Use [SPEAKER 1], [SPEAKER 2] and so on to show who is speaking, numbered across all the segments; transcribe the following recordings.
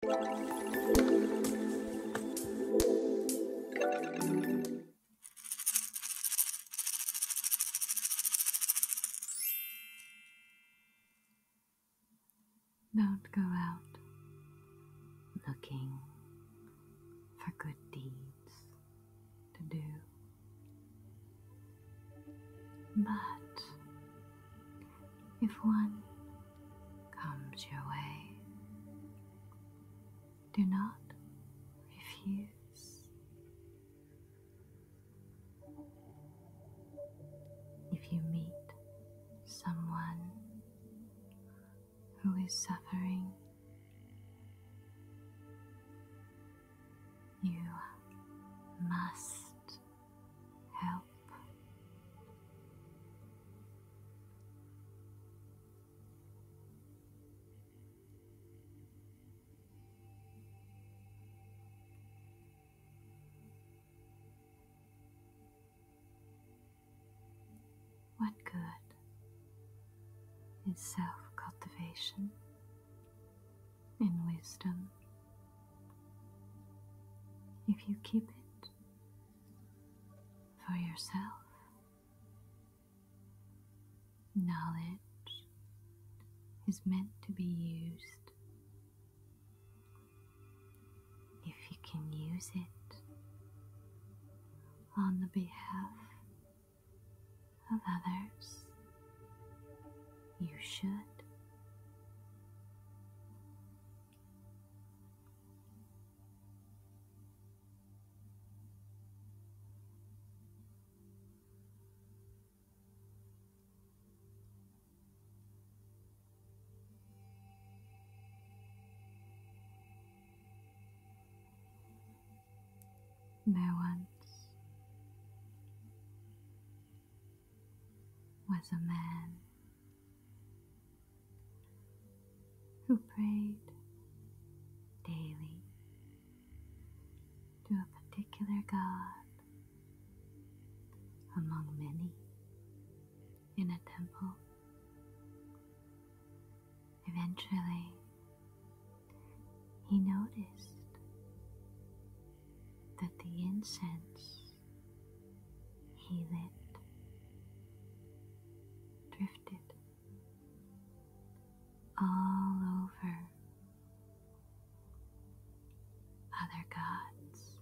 [SPEAKER 1] Don't go out looking for good deeds to do. But if one comes your way. Do not refuse. If you meet someone who is suffering, you must help. What good is self cultivation in wisdom if you keep it for yourself, knowledge is meant to be used. If you can use it on the behalf of others, you should. There once was a man who prayed daily to a particular god among many in a temple. Eventually, he noticed that the incense he lit drifted all over other gods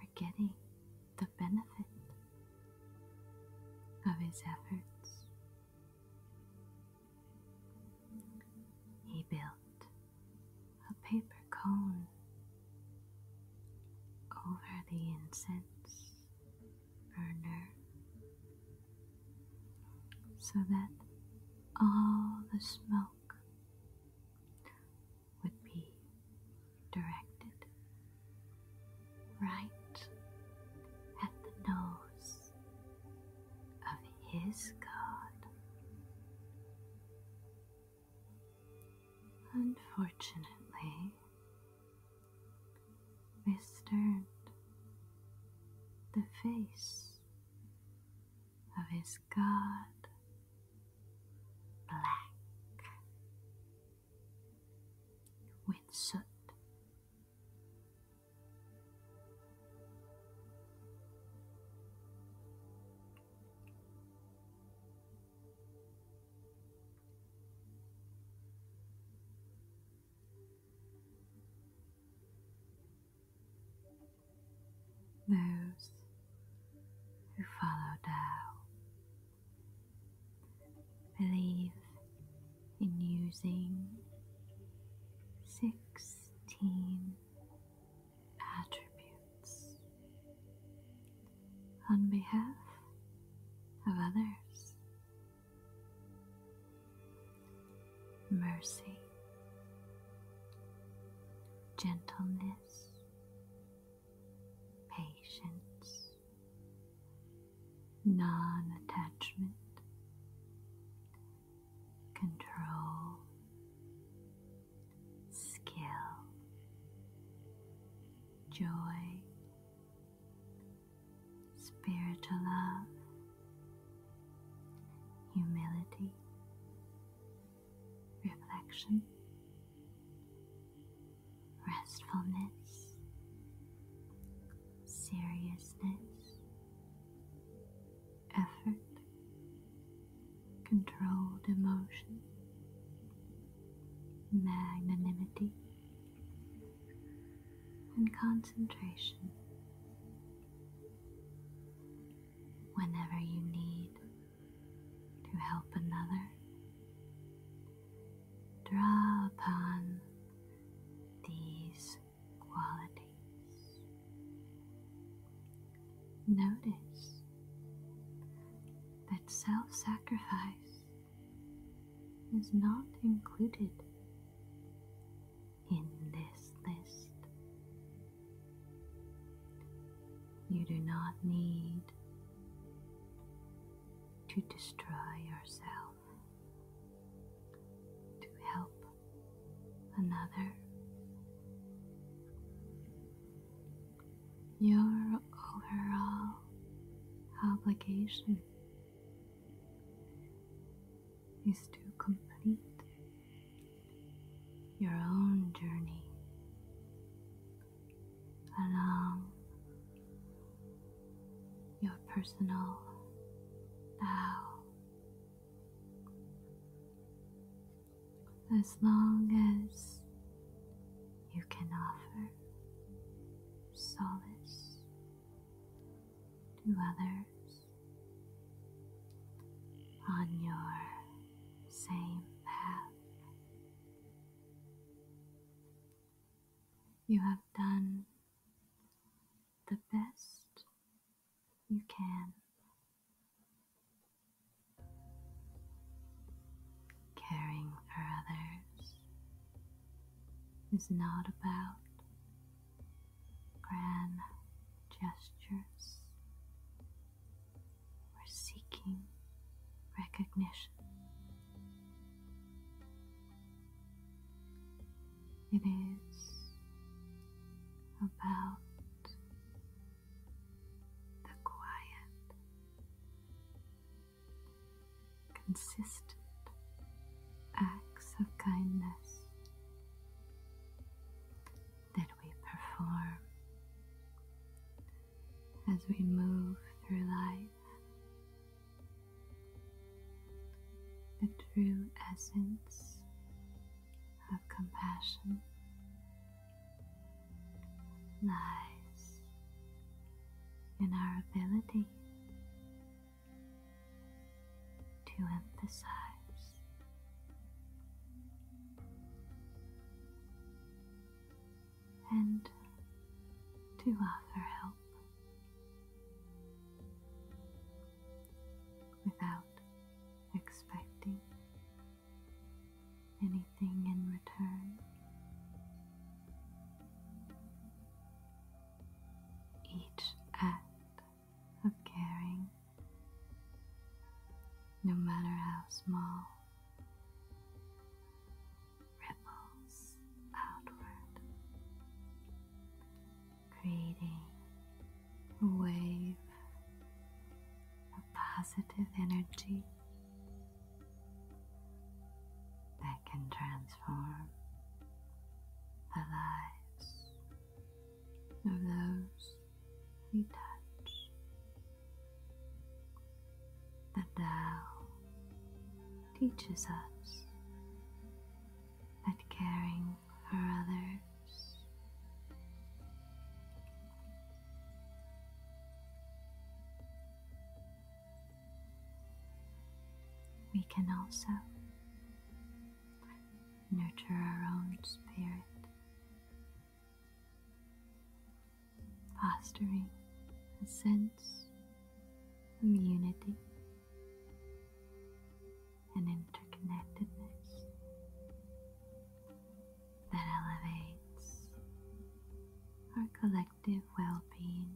[SPEAKER 1] were getting the benefit of his efforts he built a paper cone over the incense burner so that all the smoke would be directed right at the nose of his God. Unfortunately, Mister, the face of his God black with soot those who follow Tao believe in using 16 attributes on behalf of others. Mercy, gentleness, patience, non attachment, control, skill, joy, spiritual love, humility, reflection, restfulness, seriousness effort, controlled emotion, magnanimity, and concentration. Whenever you need to help another, Draw upon these qualities. Notice that self sacrifice is not included in this list. You do not need to destroy yourself to help another. Your overall obligation is to complete your own journey along your personal Tao. As long as you can offer solace to others on your same path. You have done the best you can. Caring for others is not about grand gestures or seeking recognition. It is about the quiet, consistent acts of kindness that we perform as we move through life the true essence of compassion lies in our ability to emphasize and to offer help without expecting anything in return. Each act of caring, no matter how small, ripples outward, creating wave of positive energy that can transform the lives of those we touch. The Tao teaches us that caring for others we can also nurture our own spirit fostering a sense of unity and interconnectedness that elevates our collective well being.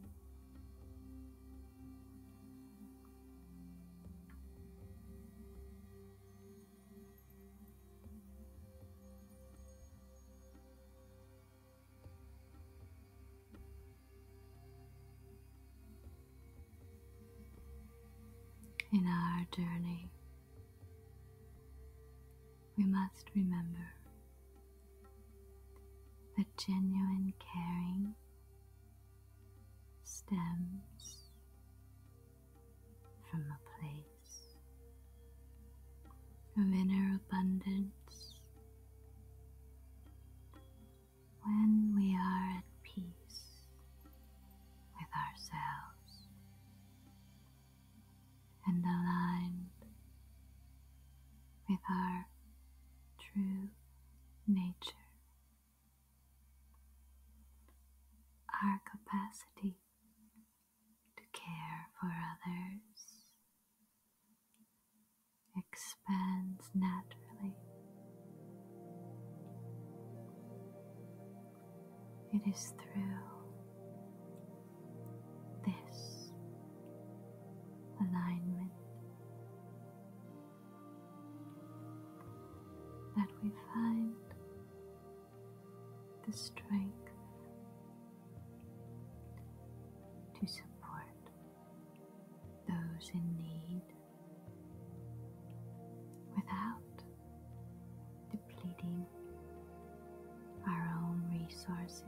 [SPEAKER 1] In our journey, we must remember that genuine caring stems from a place of inner abundance. When we are at peace with ourselves and aligned with our true nature. Our capacity to care for others expands naturally. It is through this alignment that we find the strength to support those in need without depleting our own resources.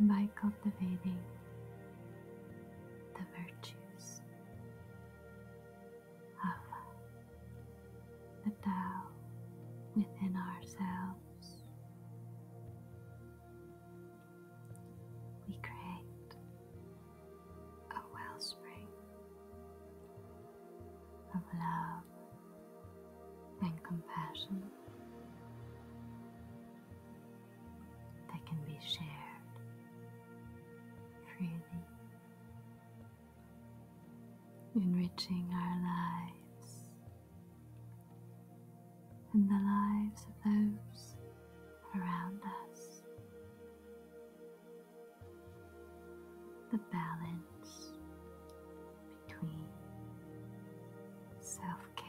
[SPEAKER 1] By cultivating the virtues of the Tao within ourselves. We create a wellspring of love and compassion that can be shared freely, enriching our lives and the lives of those around us. The balance between self care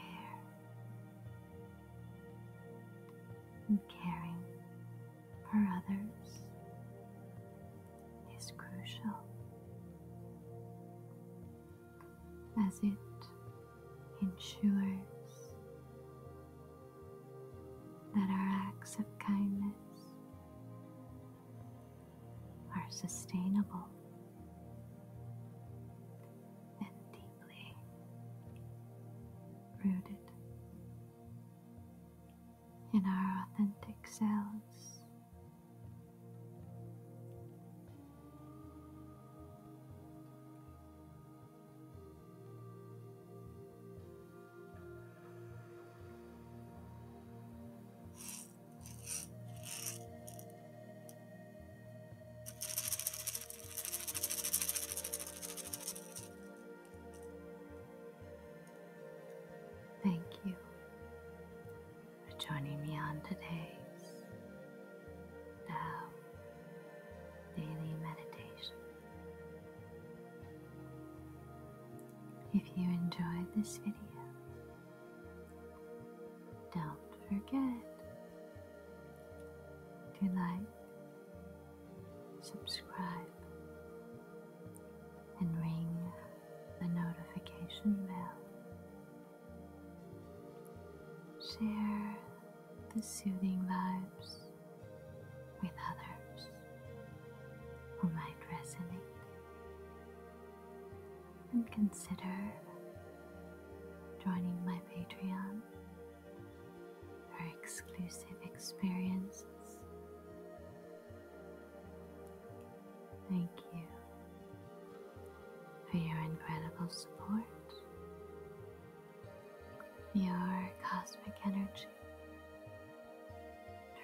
[SPEAKER 1] caring for others is crucial as it ensures that our acts of kindness are sustainable and deep rooted in our authentic selves. Thank you for joining me on today's Tao uh, Daily Meditation. If you enjoyed this video, don't forget do like, subscribe and ring the notification bell. Share the soothing vibes with others who might resonate. And consider joining my Patreon for exclusive experiences. Thank you for your incredible support. Your cosmic energy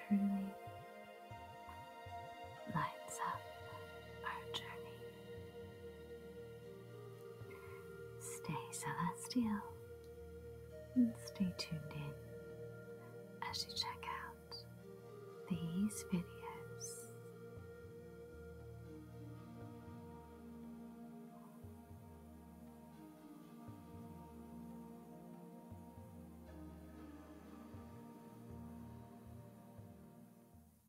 [SPEAKER 1] truly lights up our journey. Stay celestial and stay tuned in as you check out these videos.